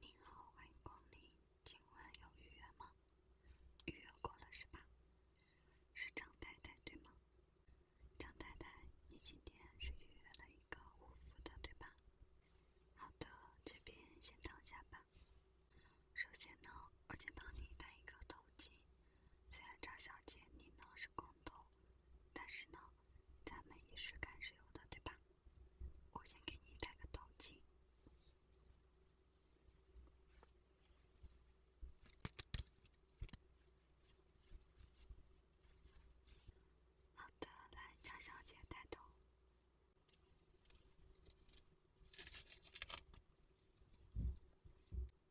您好，欢迎光临。请问有预约吗？预约过了是吧？是张太太对吗？张太太，你今天是预约了一个护肤的对吧？好的，这边先躺下吧。首先呢，我先帮你戴一个头巾。虽然张小姐你呢是光头，但是呢，咱们仪式感是有的对吧？我先给你戴个头巾。好的，来张小姐戴头。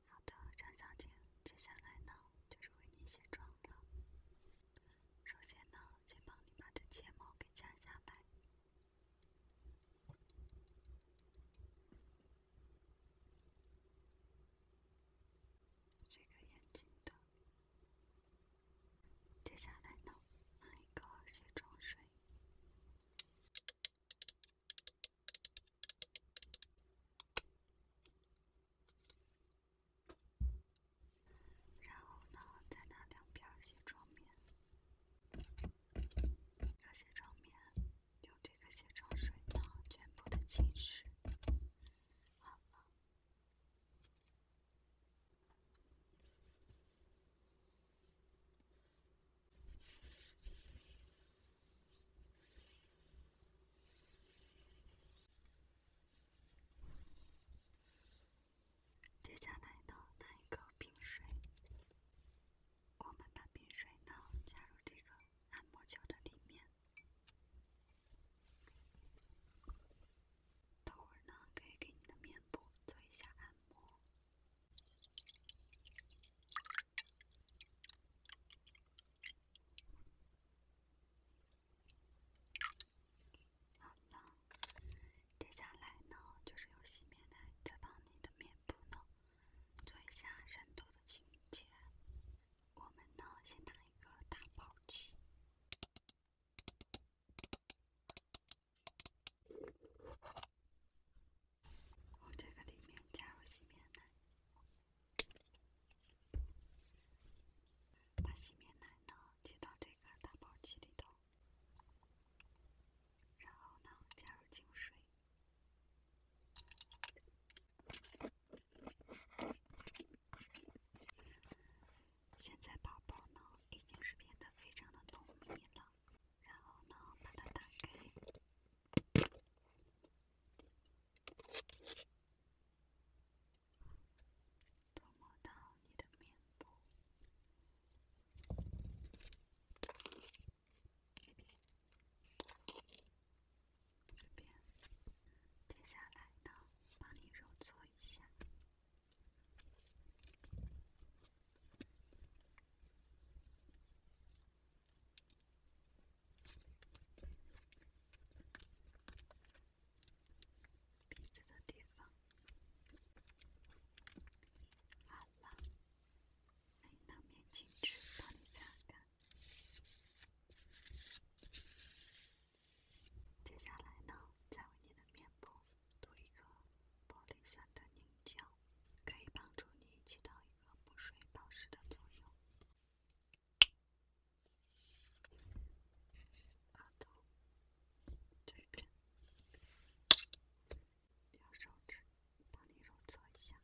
好的，张小姐，接下来呢，就是为你卸妆了。首先呢，先帮你把这睫毛给夹下来，这个眼睛的。接下来呢，拿一个卸妆水。然后呢，在拿两片卸妆棉，这卸妆棉用这个卸妆水呢，全部的浸湿，好了。接下来呢，拿一个冰水，我们把冰水呢加入这个按摩球的里面，等会儿呢可以给你的面部做一下按摩。好了，接下来呢，就是用洗面奶再帮你的面部呢做一下深度的清洁。我们呢，先拿一个打泡器，往这个里面加入洗面奶，把洗面奶呢挤到这个打包器里头。然后呢，加入净水。现在宝宝呢，已经是变得非常的浓密了。然后呢，把它打开。涂抹到你的面部，这边，接下来呢，帮你揉搓一下。鼻子的地方好了，你的面巾纸帮你擦干。接下来呢，再为你的面部涂一个玻璃酸的凝胶，可以帮助你起到一个补水保湿的作用。额头。这边，用手指帮你揉搓一下，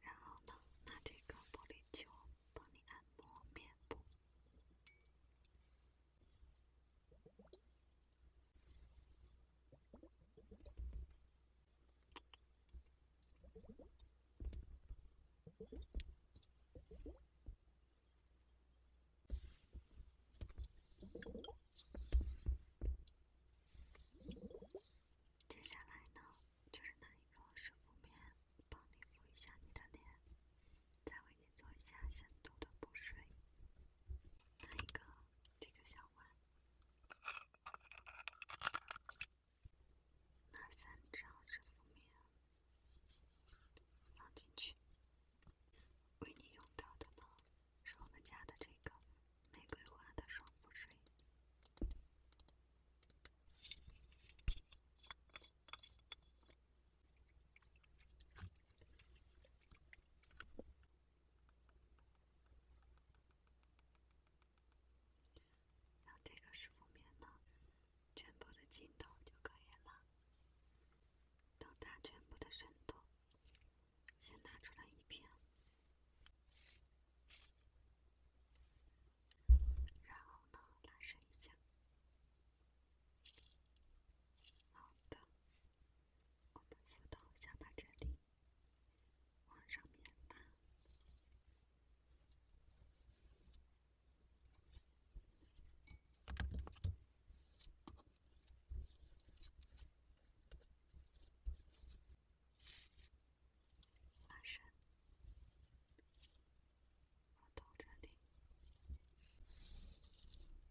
然后呢，拿这个玻璃球帮你按摩面部。接下来呢，就是拿一个湿敷棉帮你敷一下你的脸。再为您做一下深度的补水。拿一个这个小碗，拿三张热敷棉放进去。为您用到的呢，是我们家的这个玫瑰花的爽肤水。然后这个是封面呢，全部的镜头就可以了。等它全部的渗透，先拿出来一片，然后呢，拉伸一下。好的。我们扶到下巴这里，往上面拉，拉伸，扶到这里。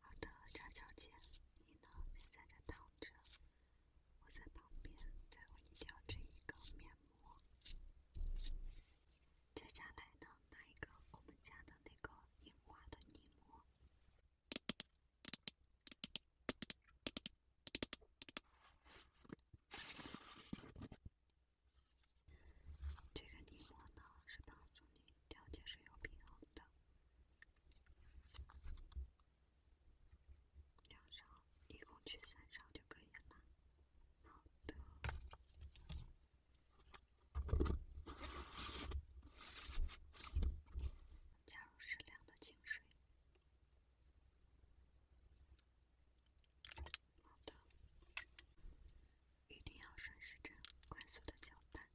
好的，张小姐，你呢先在这躺着，我在旁边再为你调制一个面膜。接下来呢，拿一个我们家的那个樱花的泥膜，这个泥膜呢是帮助你。调节是有平衡的，两勺，一共取三勺就可以了。好的，加入适量的清水。好的，一定要顺时针快速的搅拌。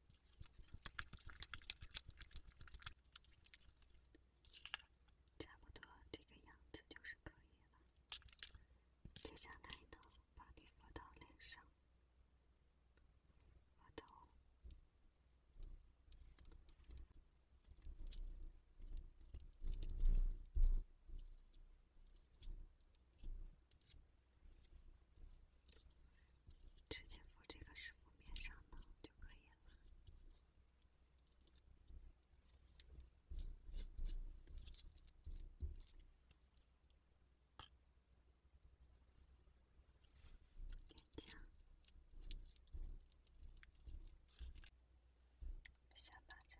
差不多这个样子就是可以了。接下来呢，把你敷到脸上，额头。直接敷这个湿敷面上呢就可以了。脸颊、下巴、这里。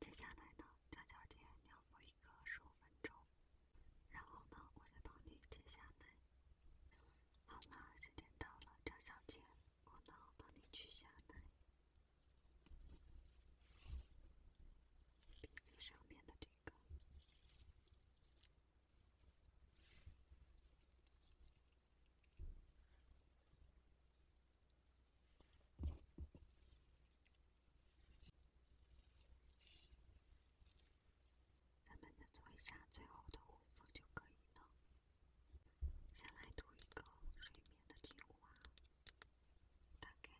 接下来呢，张小姐，你要做一个十五分钟，然后呢，我再帮你接下来。好了，时间到了，张小姐，我呢帮你取下来鼻子上面的这个。咱们再做一下最后的护肤就可以了。先来涂一个睡眠的精华，大概。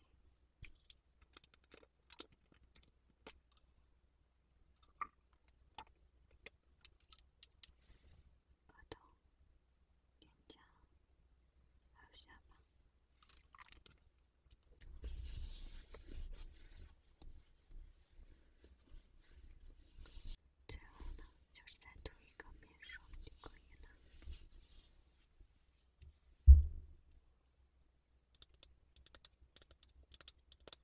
额头、脸颊，还有下巴，最后呢，就是再涂一个面霜就可以了。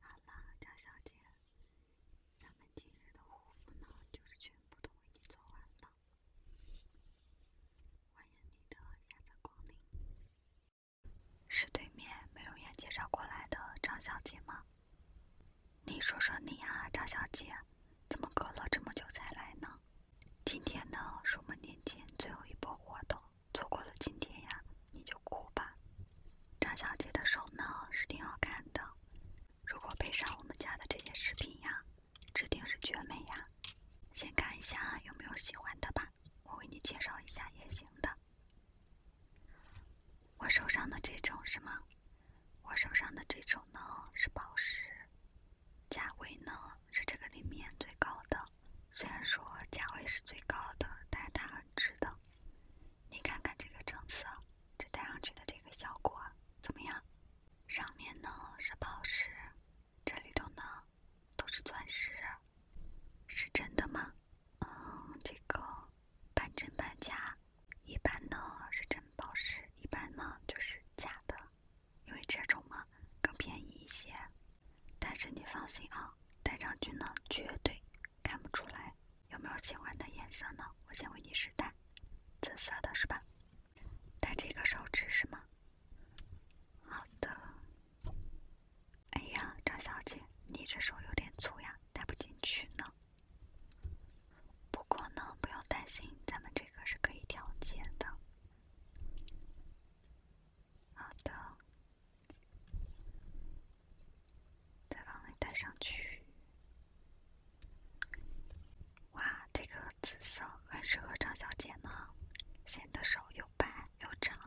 好了，张小姐，咱们今日的护肤呢，就是全部都为你做完了。欢迎你的再次光临，是对面美容院介绍过来的张小姐吗？你说说你啊，张小姐，怎么隔了这么久才来呢？今天呢是我们年前最后一波活动，错过了今天呀，你就哭吧。张小姐的手呢是挺好看的，如果配上我们家的这些饰品呀，指定是绝美呀。先看一下有没有喜欢的吧，我给你介绍一下也行的。我手上的这种是吗？我手上的这种呢是宝石，价位呢？是这个里面最高的，虽然说价位是最高的，但是它值的。你看看这个成色，这戴上去的这个效果怎么样？上面呢是宝石，这里头呢都是钻石，是真的吗？嗯，这个半真半假，一般呢是真宝石，一般呢就是假的。因为这种嘛更便宜一些，但是你放心啊，戴上去呢绝对看不出来。有没有喜欢的颜色呢？我先为你试戴，紫色的是吧？戴这个手指是吗？好的。哎呀，张小姐，你这手有点粗呀，戴不进去呢。不过呢，不用担心，咱们这个是可以调节的。好的，再帮你戴上去。哇，这个紫色很适合张小姐呢，显得手又白又长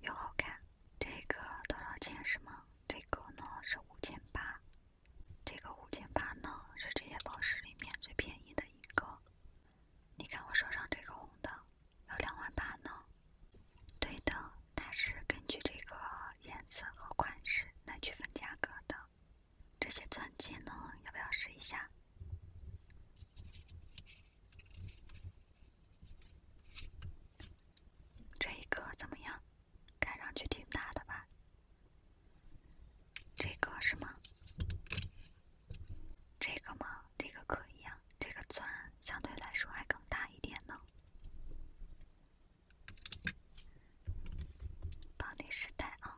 又好看。这个多少钱是吗？这个呢是五千八，这个五千八呢是这些宝石里面最便宜的一个。你看我手上这个红的，有两万八呢。对的，它是根据这个颜色和款式来区分价格的。这些钻戒呢，要不要试一下？这一个怎么样？看上去挺大的吧？这个是吗？这个吗？这个可以啊，这个钻相对来说还更大一点呢。帮你试戴啊。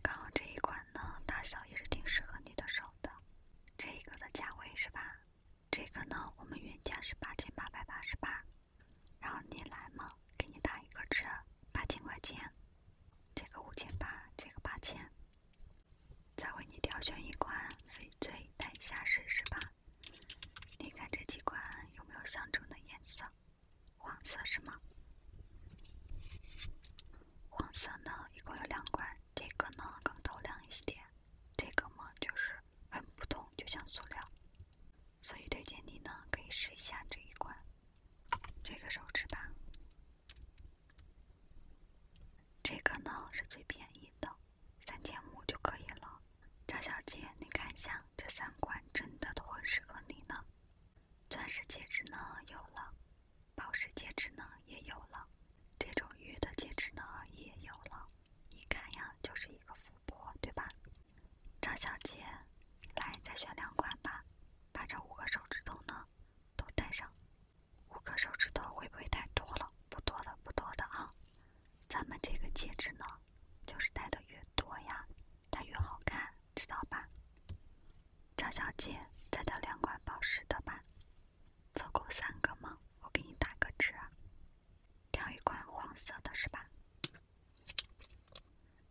刚好这一款呢，大小也是挺适合你的手的。这一个的价位是吧？这个呢，我们原价是八千八百八十八。然后你来嘛，给你打一个折，八千块钱，这个五千八，这个八千。再为你挑选一款翡翠带一下试试吧？你看这几款有没有相中的颜色？黄色是吗？黄色呢，一共有两款，这个呢更透亮一些。这个嘛，就是很普通，就像塑料，所以推荐你呢，可以试一下这一款，这个手指吧。这个呢是最便宜的，三千五就可以了。张小姐，你看一下，这三款真的都很适合你呢。钻石戒指呢有了，宝石戒指呢也有了，这种玉的戒指呢也有了。一看呀，就是一个富婆，对吧？张小姐，来再选两款吧，把这五个手指头呢都戴上。五个手指头会不会太多了？不多的，不多的啊。咱们这个戒指呢，就是戴的越多呀，它越好看，知道吧？张小姐，再带两款宝石的吧，凑够三个吗？我给你打个折。挑一款黄色的，是吧？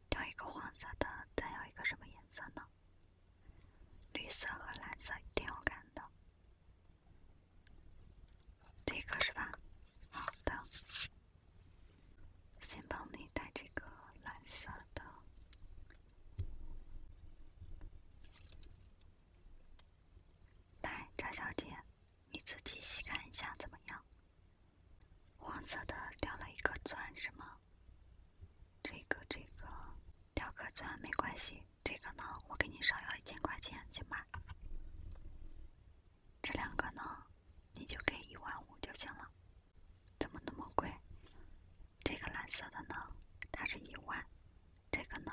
挑一个黄色的，再要一个什么颜色呢？绿色和蓝色挺好看的，这个是吧？好的，先帮你戴这个蓝色的，来，张小姐。你自己细看一下怎么样？黄色的掉了一颗钻是吗？这个这个掉颗钻没关系，这个呢我给你少要一千块钱，行吧？这两个呢你就给一万五就行了，怎么那么贵？这个蓝色的呢它是一万，这个呢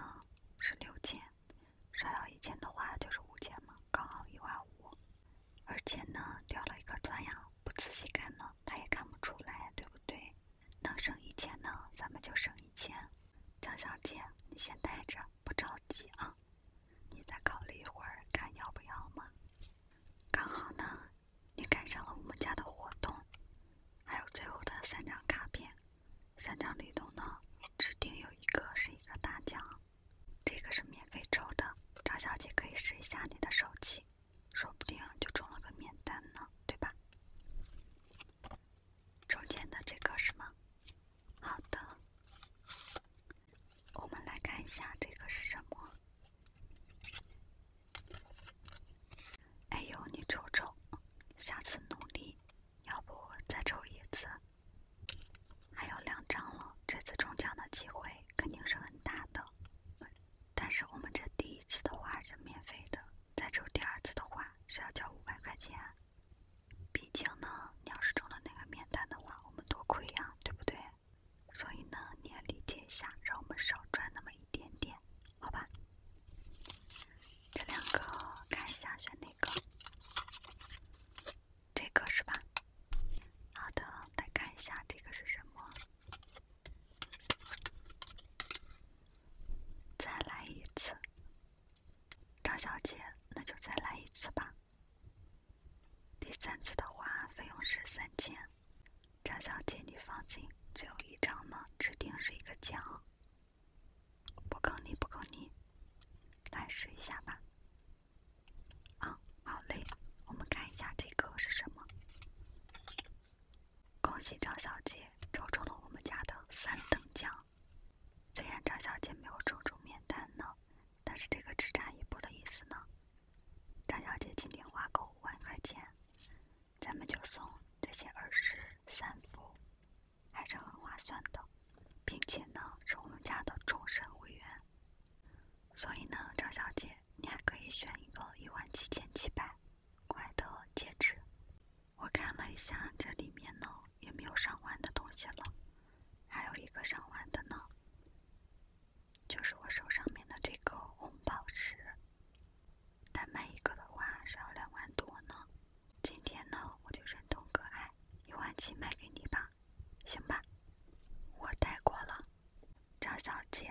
是六千。少到一千的话就是五千嘛，刚好一万五。而且呢，掉了一个钻呀，不仔细看呢，他也看不出来，对不对？能省一千呢，咱们就省一千。张小姐，你先带着，不着急啊。你再考虑一会儿，看要不要嘛。刚好呢，你赶上了我们家的活动，还有最后的三张卡片，三张里头呢，指定有一个是一个大奖。这个是免费抽的，张小姐可以试一下你的手气，说不定就中了个免单呢，对吧？中间的这个是吗？好的，我们来看一下这个是什么。哎呦，你瞅瞅，下次努力。要不再抽一次？还有两张了，这次中奖的机会肯定是很大的。但是我们这第一次的话是免费的，再抽第二次的话是要交五百块钱。毕竟呢，你要是中了那个免单的话，我们多亏呀，对不对？所以呢，你也理解一下，让我们少赚那么一点点，好吧？这两个看一下，选哪个？这个是吧？好的，来看一下这个是什么？再来一次，张小姐，那就再来一次吧。第三次的话，费用是三千。张小姐，你放心，只有一张呢，指定是一个奖。不坑你，不坑你，来试一下吧。啊，好嘞，我们看一下这个是什么。恭喜张小姐抽中了我们家的三等奖。虽然张小姐没有抽中免单呢，但是这个只差一步的意思呢。张小姐今天花够五万块钱，咱们就送这些耳饰三副。还是很划算的，并且呢是我们家的终身会员，所以呢张小姐，你还可以选一个一万七千七百块的戒指。我看了一下这里面呢也没有上万的东西了，还有一个上万的呢，就是我手上面的这个红宝石，单买一个的话是要两万多呢。今天呢，我就忍痛割爱，一万七卖给你吧，行吧？我带过了，张小姐，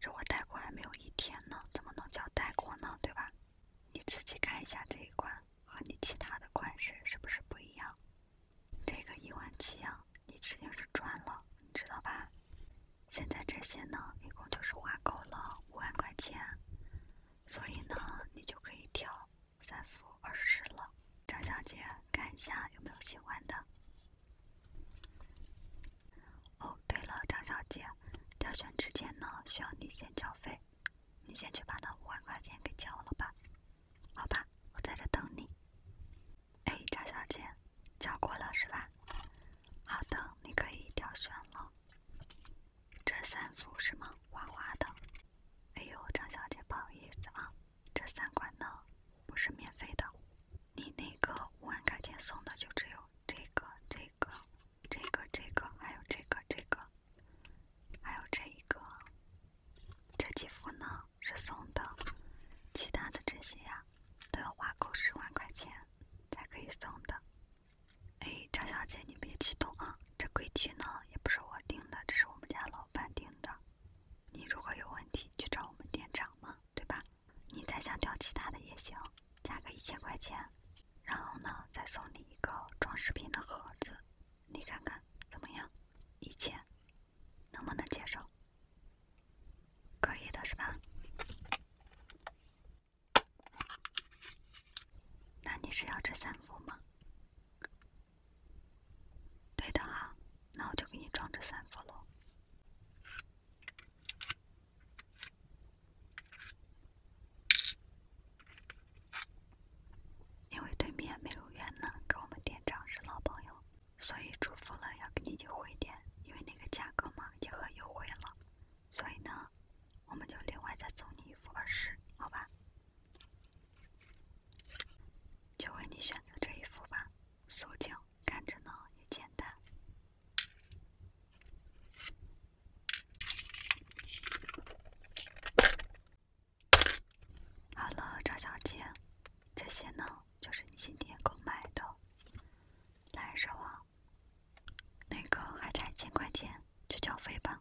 这我带过还没有一天呢，怎么能叫带过呢，对吧？你自己看一下这一款和你其他的款式是不是不一样？这个一万七啊，你指定是赚了，你知道吧？现在这些呢，一共就是花够了五万块钱，所以呢，你就可以挑。三幅二十了，张小姐，看一下有没有喜欢的。哦，对了，张小姐，挑选之前呢，需要你先交费，你先去把那五万块钱给交了吧。好吧，我在这等你。哎，张小姐，交过了是吧？好的，你可以挑选了。这三幅是吗？花花的。哎呦，张小姐不好意思啊，这三款呢不是免费的，你那个五万块钱送的就只有这个、这个、这个、这个，还有这个、这个，还有这一个，这几幅呢是送的，其他的这些呀都要花够十万块钱才可以送的。哎，张小姐你别激动啊，这规矩呢。也不是我订的，这是我们家老板订的。你如果有问题，去找我们店长嘛，对吧？你再想调其他的也行，加个一千块钱，然后呢，再送你一个装饰品的盒子，你看看怎么样？一千，能不能接受？可以的是吧？那你是要这三副吗？对的哈，那我就给你装这三副喽。因为对面美容院呢跟我们店长是老朋友，所以嘱咐了要给你优惠点，因为那个价格嘛也很优惠了，所以呢，我们就另外再送你一副耳饰，好吧？就为你选择这一幅吧，素净看着呢也简单。好了，赵小姐，这些呢就是你今天购买的，来收啊，那个还差一千块钱，去缴费吧。